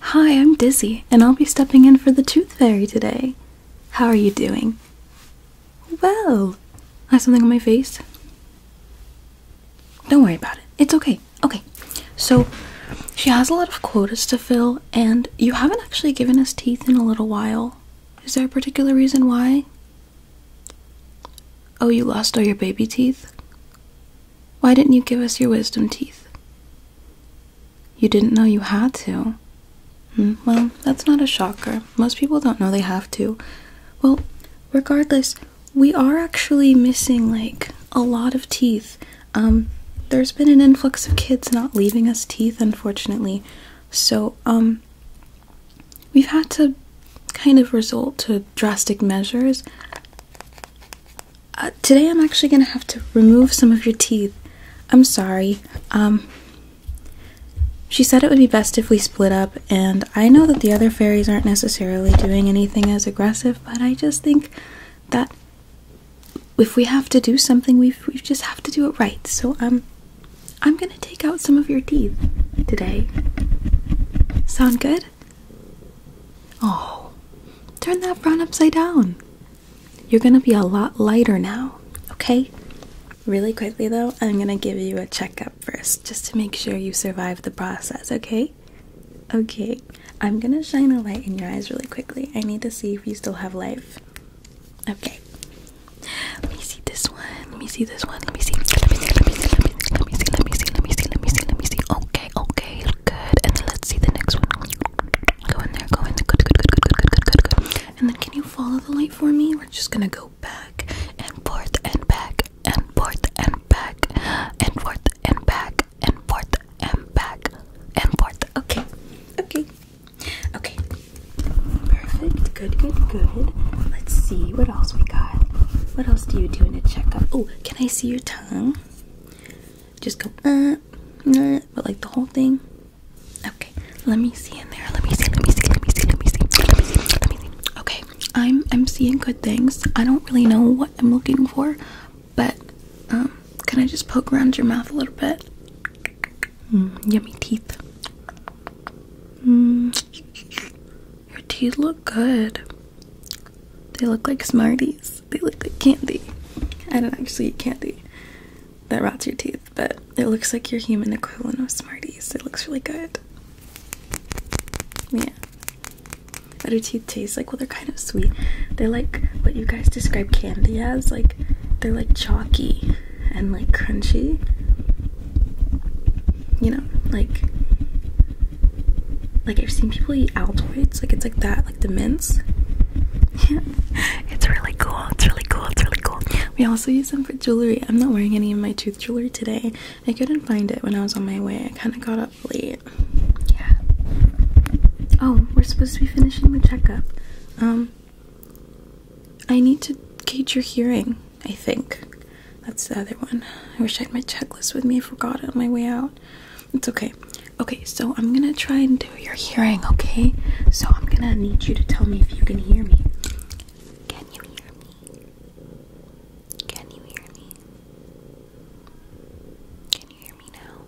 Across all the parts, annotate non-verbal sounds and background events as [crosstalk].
Hi, I'm Dizzy, and I'll be stepping in for the Tooth Fairy today. How are you doing? Well, I have something on my face. Don't worry about it. It's okay. Okay, so she has a lot of quotas to fill, and you haven't actually given us teeth in a little while. Is there a particular reason why? Oh, you lost all your baby teeth? Why didn't you give us your wisdom teeth? You didn't know you had to. Hmm, well, that's not a shocker. Most people don't know they have to. Well, regardless, we are actually missing like a lot of teeth. Um, there's been an influx of kids not leaving us teeth, unfortunately. So, um, we've had to kind of resort to drastic measures. Uh, today I'm actually going to have to remove some of your teeth. I'm sorry. Um, she said it would be best if we split up, and I know that the other fairies aren't necessarily doing anything as aggressive, but I just think that if we have to do something, we we just have to do it right. So um, I'm I'm going to take out some of your teeth today. Sound good? Oh, turn that brown upside down. You're gonna be a lot lighter now, okay? Really quickly though, I'm gonna give you a checkup first just to make sure you survive the process, okay? Okay, I'm gonna shine a light in your eyes really quickly. I need to see if you still have life. Okay, let me see this one. Let me see this one. Let me see. Let me see. Let me see. Let me see. Let me see. Let me see. Let me see. Let me see. Let me see. Okay. Okay. Good. And then let's see the next one. Go in there. Go in there. Good. Good. Good. Good. Good. Good. Good. Good. And then can you follow the light for me? We're just gonna go back and forth and back and forth and back and forth and back and forth and back and forth. Okay. Okay. Okay. Perfect. Good. Good. Good. Let's see what else we got god. What else do you do in a checkup? Oh, can I see your tongue? Just go, uh, uh, but like the whole thing. Okay, let me see in there. Let me see. Let me see. Let me see. Let me see. Let me see. Let me see. Okay, I'm I'm seeing good things. I don't really know what I'm looking for, but um, can I just poke around your mouth a little bit? Mm, yummy teeth. Mm. Your teeth look good. They look like Smarties. They look like candy. I don't actually eat candy that rots your teeth, but it looks like your human equivalent of Smarties. It looks really good. Yeah. What do teeth taste like? Well, they're kind of sweet. They're like what you guys describe candy as. Like, they're like chalky and like crunchy you know, like like I've seen people eat Altoids, like it's like that, like the mints. Yeah. [laughs] It's really cool. It's really cool. It's really cool. We also use them for jewelry. I'm not wearing any of my tooth jewelry today. I couldn't find it when I was on my way. I kind of got up late. Yeah. Oh, we're supposed to be finishing the checkup. Um, I need to gauge your hearing. I think. That's the other one. I wish I had my checklist with me. I forgot it on my way out. It's okay. Okay, so I'm gonna try and do your hearing, okay? So I'm gonna need you to tell me if you can hear me. Can you hear me? Can you hear me? Can you hear me now? Can you hear me now?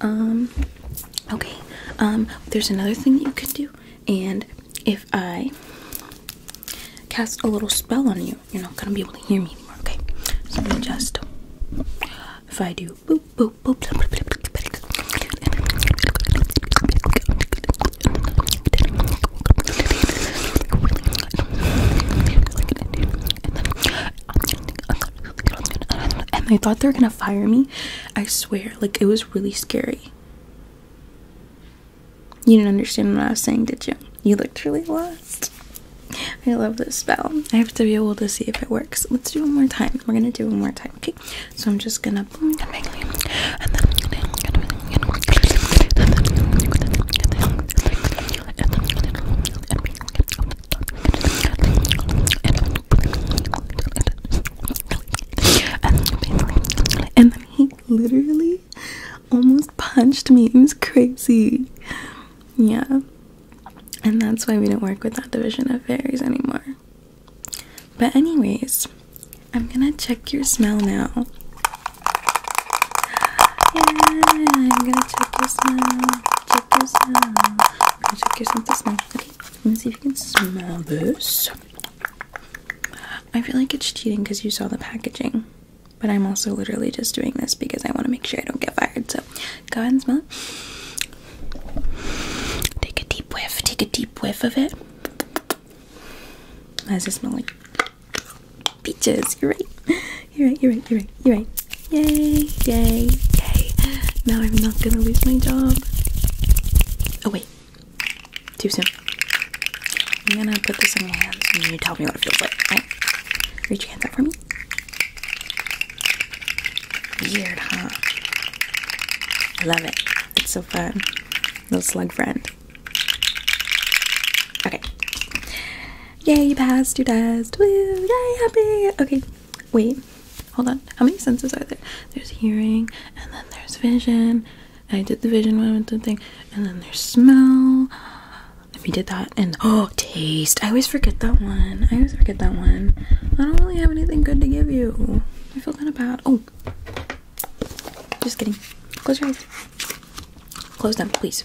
Um, okay. Um, there's another thing you can do, and if I cast a little spell on you, you're not gonna be able to hear me anymore, okay? So just if I do and I thought they were gonna fire me. I swear, like it was really scary. You didn't understand what I was saying, did you? You looked really lost. I love this spell. I have to be able to see if it works. Let's do one more time. We're gonna do one more time, okay? So I'm just gonna and then and then and and then he literally almost punched me. It was crazy. Yeah. And that's why we don't work with that division of fairies anymore. But, anyways, I'm gonna check your smell now. Yeah, I'm gonna check your smell. Check this out. I'm to check your sense of smell. Okay, let me see if you can smell this. I feel like it's cheating because you saw the packaging, but I'm also literally just doing this because I want to make sure I don't get fired. So go ahead and smell it. Take a deep whiff. Take a deep whiff of it. Why does it smell like? Peaches, you're right. You're right, you're right, you're right, you're right. Yay, yay, yay. Now I'm not gonna lose my job. Oh, wait. Too soon. I'm gonna put this in your hands and you tell me what it feels like. Right? Reach your hands out for me. Weird, huh? I love it. It's so fun. Little slug friend. Okay. Yay, you passed You passed. Woo, yay, happy. Okay, wait, hold on. How many senses are there? There's hearing, and then there's vision. I did the vision one with the thing, and then there's smell. We did that, and oh, taste. I always forget that one. I always forget that one. I don't really have anything good to give you. I feel kind of bad. Oh, just kidding. Close your eyes. Close them, please.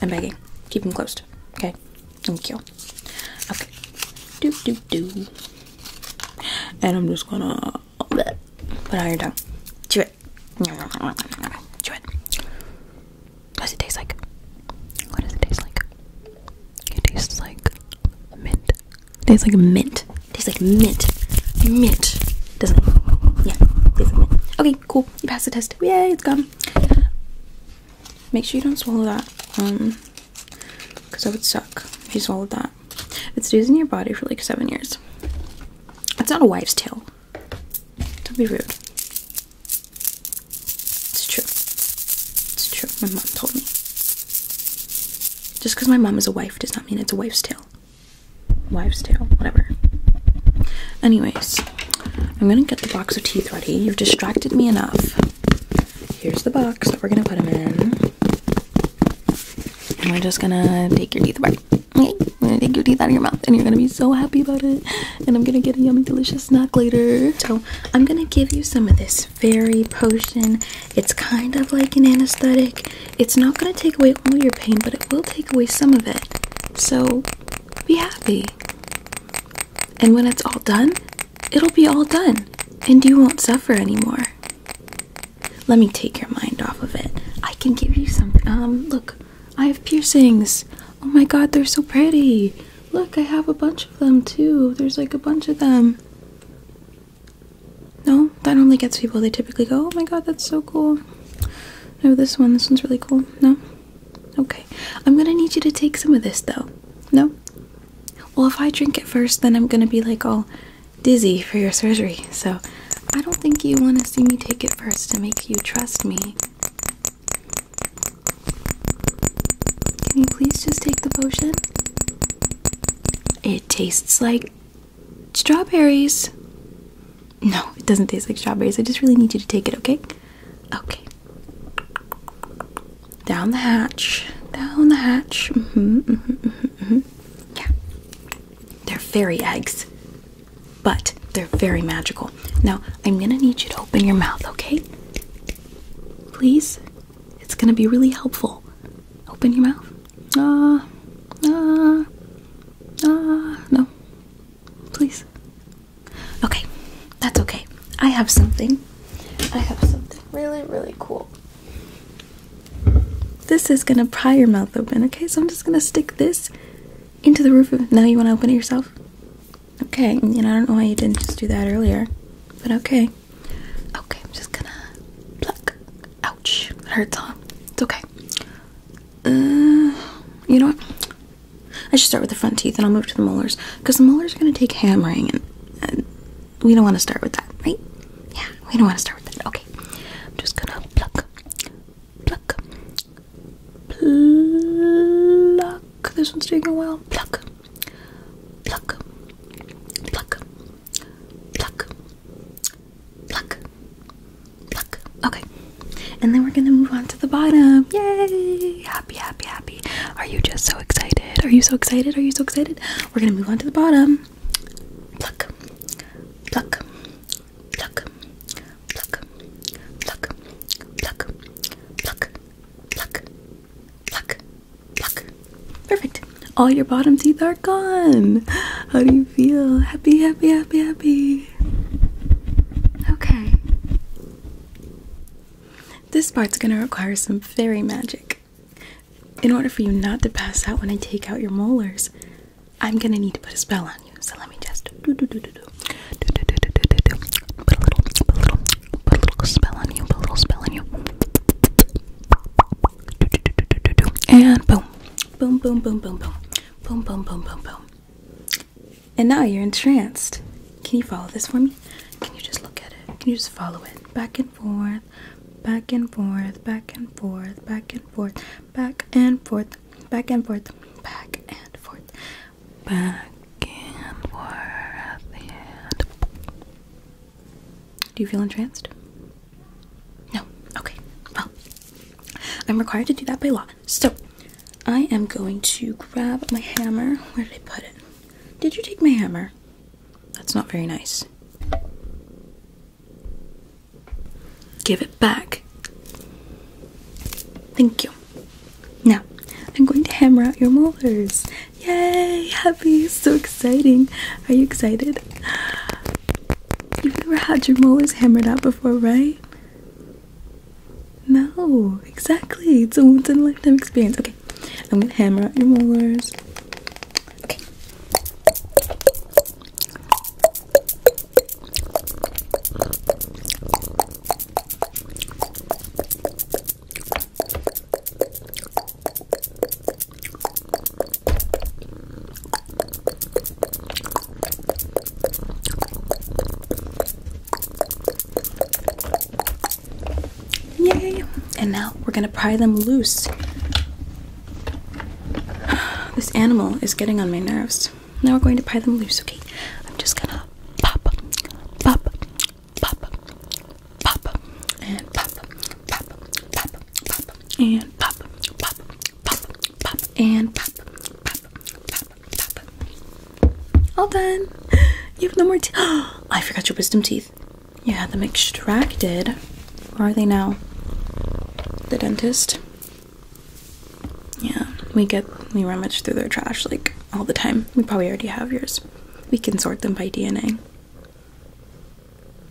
I'm begging. Keep them closed. Okay? Thank you. Okay. Do do do. And I'm just gonna bleh, put all your tongue. Chew it. Chew it. What does it taste like? What does it taste like? It tastes like mint. It tastes like mint. It tastes like mint. Mint. Doesn't it? Yeah. It tastes like mint. Okay, cool. You passed the test. Yay, it's gone. Make sure you don't swallow that, um, because that would suck if you swallowed that. It stays in your body for like seven years. It's not a wife's tale. Don't be rude. It's true. It's true. My mom told me. Just because my mom is a wife does not mean it's a wife's tale. Wife's tale, whatever. Anyways, I'm gonna get the box of teeth ready. You've distracted me enough. Here's the box that we're gonna put them in. And we're just gonna take your teeth away. Okay, we're gonna take your teeth out of your mouth and you're gonna be so happy about it. And I'm gonna get a yummy, delicious snack later. So, I'm gonna give you some of this fairy potion. It's kind of like an anesthetic. It's not gonna take away all your pain, but it will take away some of it. So, be happy. And when it's all done, it'll be all done, and you won't suffer anymore. Let me take your mind off of it. I can give you something. Um, look, I have piercings. Oh my god, they're so pretty. Look, I have a bunch of them too. There's like a bunch of them. No, that only gets people. They typically go, oh my god, that's so cool. No, this one. This one's really cool. No? Okay. I'm gonna need you to take some of this though. No? Well, if I drink it first, then I'm gonna be like all dizzy for your surgery. So I don't think you wanna see me take it first to make you trust me. Can you please just take the potion? It tastes like strawberries. No, it doesn't taste like strawberries. I just really need you to take it, okay? Okay. Down the hatch. Down the hatch. Mm-hmm mm-hmm, mm-hmm. mm-hmm. Yeah. They're fairy eggs. But they're very magical. Now, I'm gonna need you to open your mouth, okay? Please? It's gonna be really helpful. Open your mouth. Ah, ah, ah. no, Please. Okay, that's okay. I have something. I have something really, really cool. This is gonna pry your mouth open, okay? So I'm just gonna stick this into the roof of. Now you wanna open it yourself? Okay, and I don't know why you didn't just do that earlier, but okay. Okay, I'm just gonna pluck. Ouch, it hurts, huh? It's okay. Uh, you know what? I should start with the front teeth and I'll move to the molars because the molars are going to take hammering and, and we don't want to start with that, right? Yeah, we don't want to start with that. Okay. I'm just going to pluck, pluck, pluck. This one's taking a while. Pluck, pluck, pluck, pluck, pluck, pluck. Okay, and then we're gonna move on to the bottom. Yay! Happy, happy, happy. Are you just so excited? Are you so excited? Are you so excited? We're gonna move on to the bottom. Pluck, pluck, pluck, pluck, pluck, pluck, pluck, pluck, pluck, Perfect. All your bottom teeth are gone. How feel happy, happy, happy, happy. Okay. This part's gonna require some fairy magic. In order for you not to pass out when I take out your molars, I'm gonna need to put a spell on you. So let me just do do do do do do do do do do do. Put a little, put a little, put a little spell on you. Put a little spell on you. And boom, boom, boom, boom, boom, boom. Boom, boom, boom, boom, boom. And now you're entranced. Can you follow this for me? Can you just look at it? Can you just follow it? Back and forth, back and forth, back and forth, back and forth, back and forth, back and forth, back and forth, back and forth. And... Do you feel entranced? No. Okay. Well, I'm required to do that by law. So, I am going to grab my hammer. Where did I put it? Did you take my hammer? That's not very nice. Give it back. Thank you. Now, I'm going to hammer out your molars. Yay! Happy! So exciting! Are you excited? You've never had your molars hammered out before, right? No, exactly. It's a once in a lifetime experience. Okay, I'm gonna hammer out your molars. Okay. Yay! And now we're gonna pry them loose. [sighs] This animal is getting on my nerves. Now we're going to pry them loose, okay? I'm just gonna pop, pop, pop, pop, and pop, pop, pop, pop, and pop, pop, pop, pop, and pop, pop, pop, pop. All done. You have no more teeth. Oh, [gasps] I forgot your wisdom teeth. You had them extracted. Where are they now? The dentist. Yeah, we get we rummage through their trash like all the time. We probably already have yours. We can sort them by DNA.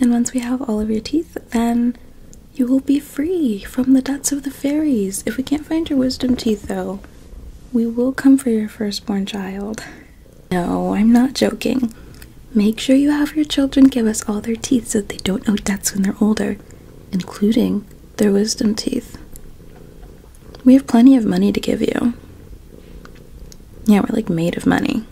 And once we have all of your teeth, then you will be free from the debts of the fairies. If we can't find your wisdom teeth, though, we will come for your firstborn child. No, I'm not joking. Make sure you have your children give us all their teeth so they don't owe debts when they're older, including their wisdom teeth. We have plenty of money to give you. Yeah, we're like made of money.